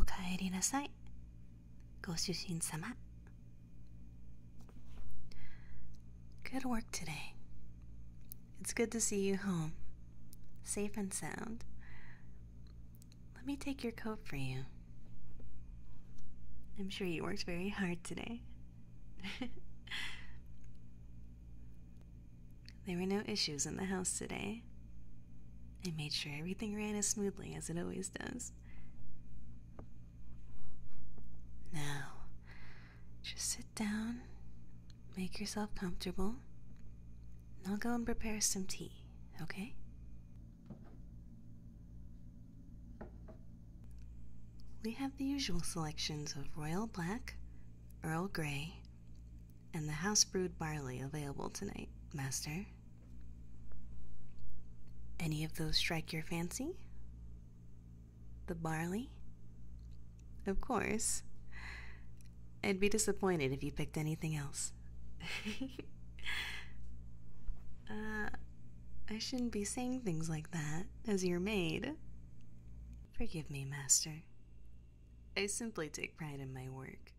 Okay, Irina. Say, おかえりなさいご主人様 Good work today. It's good to see you home, safe and sound. Let me take your coat for you. I'm sure you worked very hard today. there were no issues in the house today way. I made sure everything ran as smoothly as it always does. Now, just sit down, make yourself comfortable, and I'll go and prepare some tea, okay? We have the usual selections of Royal Black, Earl Grey, and the house brewed barley available tonight, master. Any of those strike your fancy? The barley? Of course. I'd be disappointed if you picked anything else. uh, I shouldn't be saying things like that as your maid. Forgive me, master. I simply take pride in my work.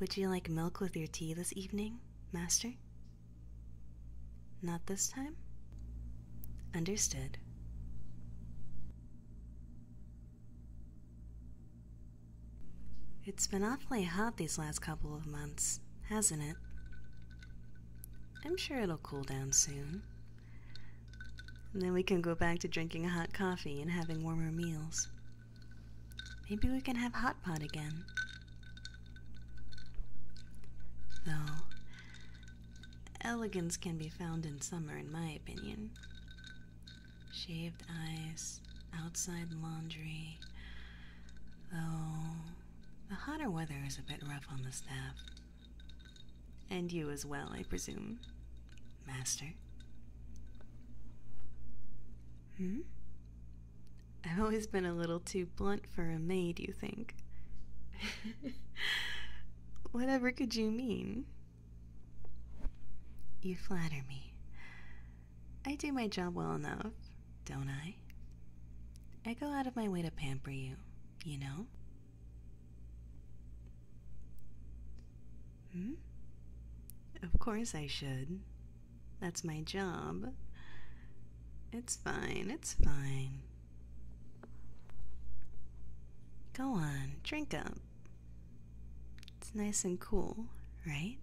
Would you like milk with your tea this evening, Master? Not this time? Understood. It's been awfully hot these last couple of months, hasn't it? I'm sure it'll cool down soon. And then we can go back to drinking hot coffee and having warmer meals. Maybe we can have hot pot again. Though, elegance can be found in summer, in my opinion shaved ice, outside laundry. Though the hotter weather is a bit rough on the staff. And you as well, I presume, Master. Hmm? I've always been a little too blunt for a maid, you think? Whatever could you mean? You flatter me. I do my job well enough, don't I? I go out of my way to pamper you, you know? Hmm? Of course I should. That's my job. It's fine, it's fine. Go on, drink up. It's nice and cool, right?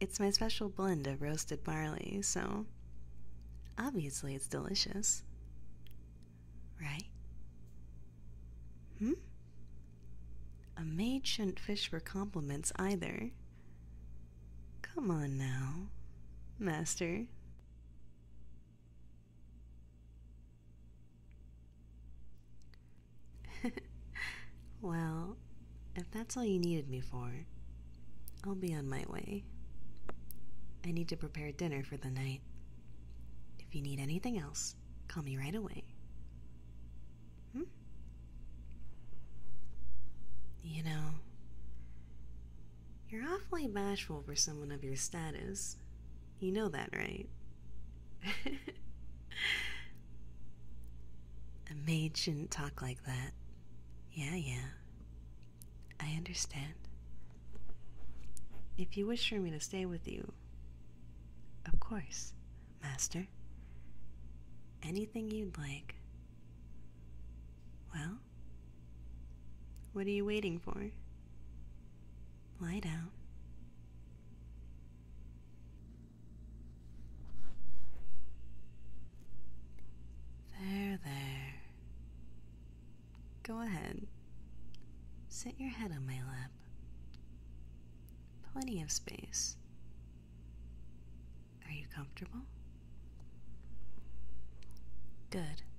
It's my special blend of roasted barley, so obviously it's delicious. Right? Hmm? A maid shouldn't fish for compliments either. Come on now, Master. well, if that's all you needed me for, I'll be on my way. I need to prepare dinner for the night. If you need anything else, call me right away. Hmm? You know, you're awfully bashful for someone of your status. You know that, right? A maid shouldn't talk like that. Yeah, yeah. I understand. If you wish for me to stay with you, of course, Master. Anything you'd like. Well, what are you waiting for? Lie down. There, there. Go ahead. Sit your head on my lap. Plenty of space. Are you comfortable? Good.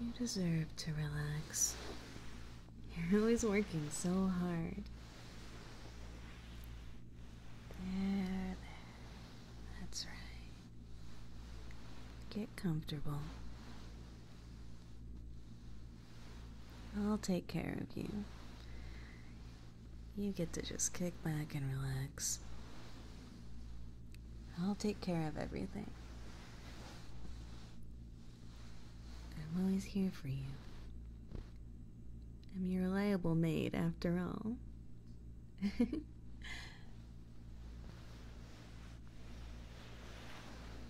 You deserve to relax. You're always working so hard. There, there. That's right. Get comfortable. I'll take care of you. You get to just kick back and relax. I'll take care of everything. I'm always here for you. I'm your reliable maid, after all.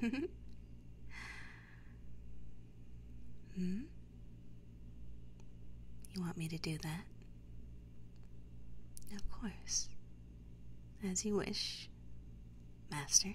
hmm? You want me to do that? Of course. As you wish, Master.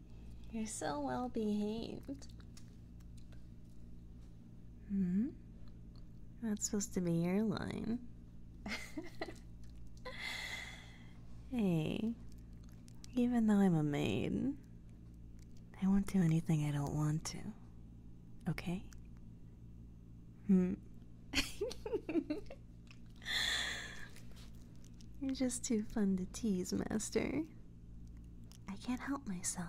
You're so well behaved. Hmm? That's supposed to be your line. hey, even though I'm a maid, I won't do anything I don't want to. Okay? Hmm. You're just too fun to tease, Master. I can't help myself.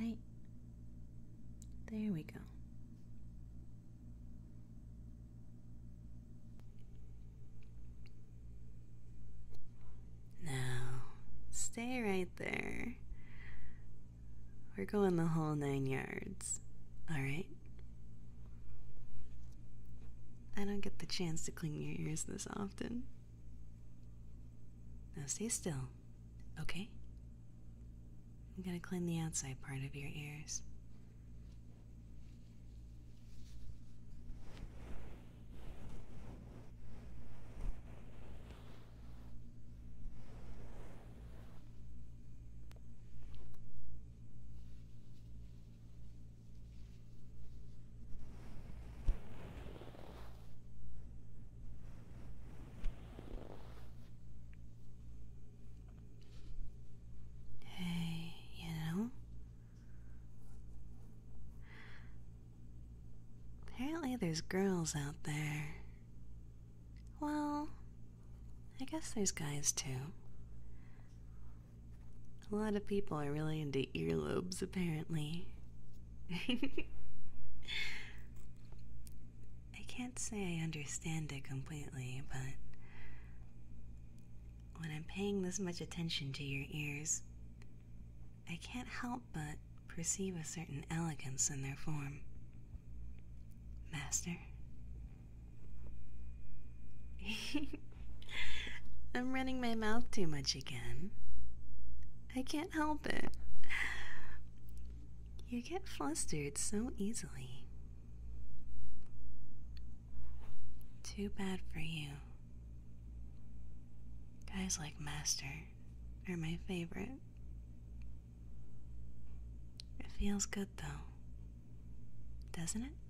Right. There we go. Now, stay right there. We're going the whole nine yards. All right. I don't get the chance to clean your ears this often. Now stay still, okay? I'm gonna clean the outside part of your ears. Hey, you know? Apparently, there's girls out there. Well, I guess there's guys too. A lot of people are really into earlobes, apparently. I can't say I understand it completely, but when I'm paying this much attention to your ears, I can't help but perceive a certain elegance in their form. Master, I'm running my mouth too much again. I can't help it. You get flustered so easily. Too bad for you. Guys like Master are my favorite. It feels good though, doesn't it?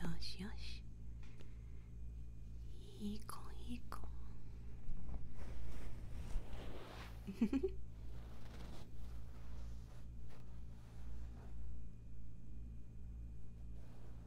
よしよしいい子いい子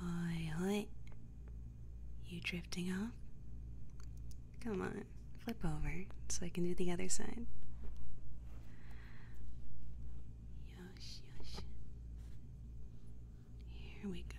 Hi hi! You drifting off? Come on, flip over so I can do the other side. Yosh, yosh. Here we go.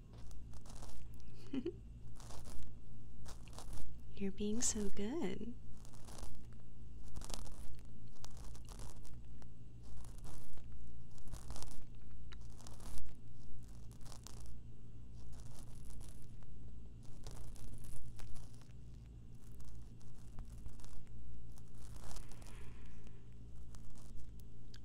You're being so good.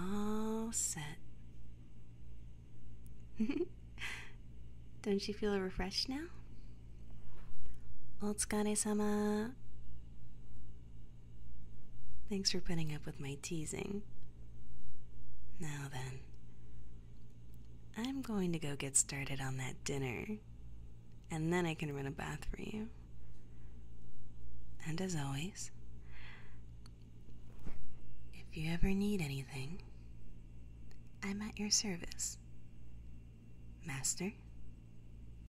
All set. Don't you feel refreshed now? Otsukaresama. Thanks for putting up with my teasing. Now then, I'm going to go get started on that dinner, and then I can run a bath for you. And as always, if you ever need anything, I'm at your service. Master?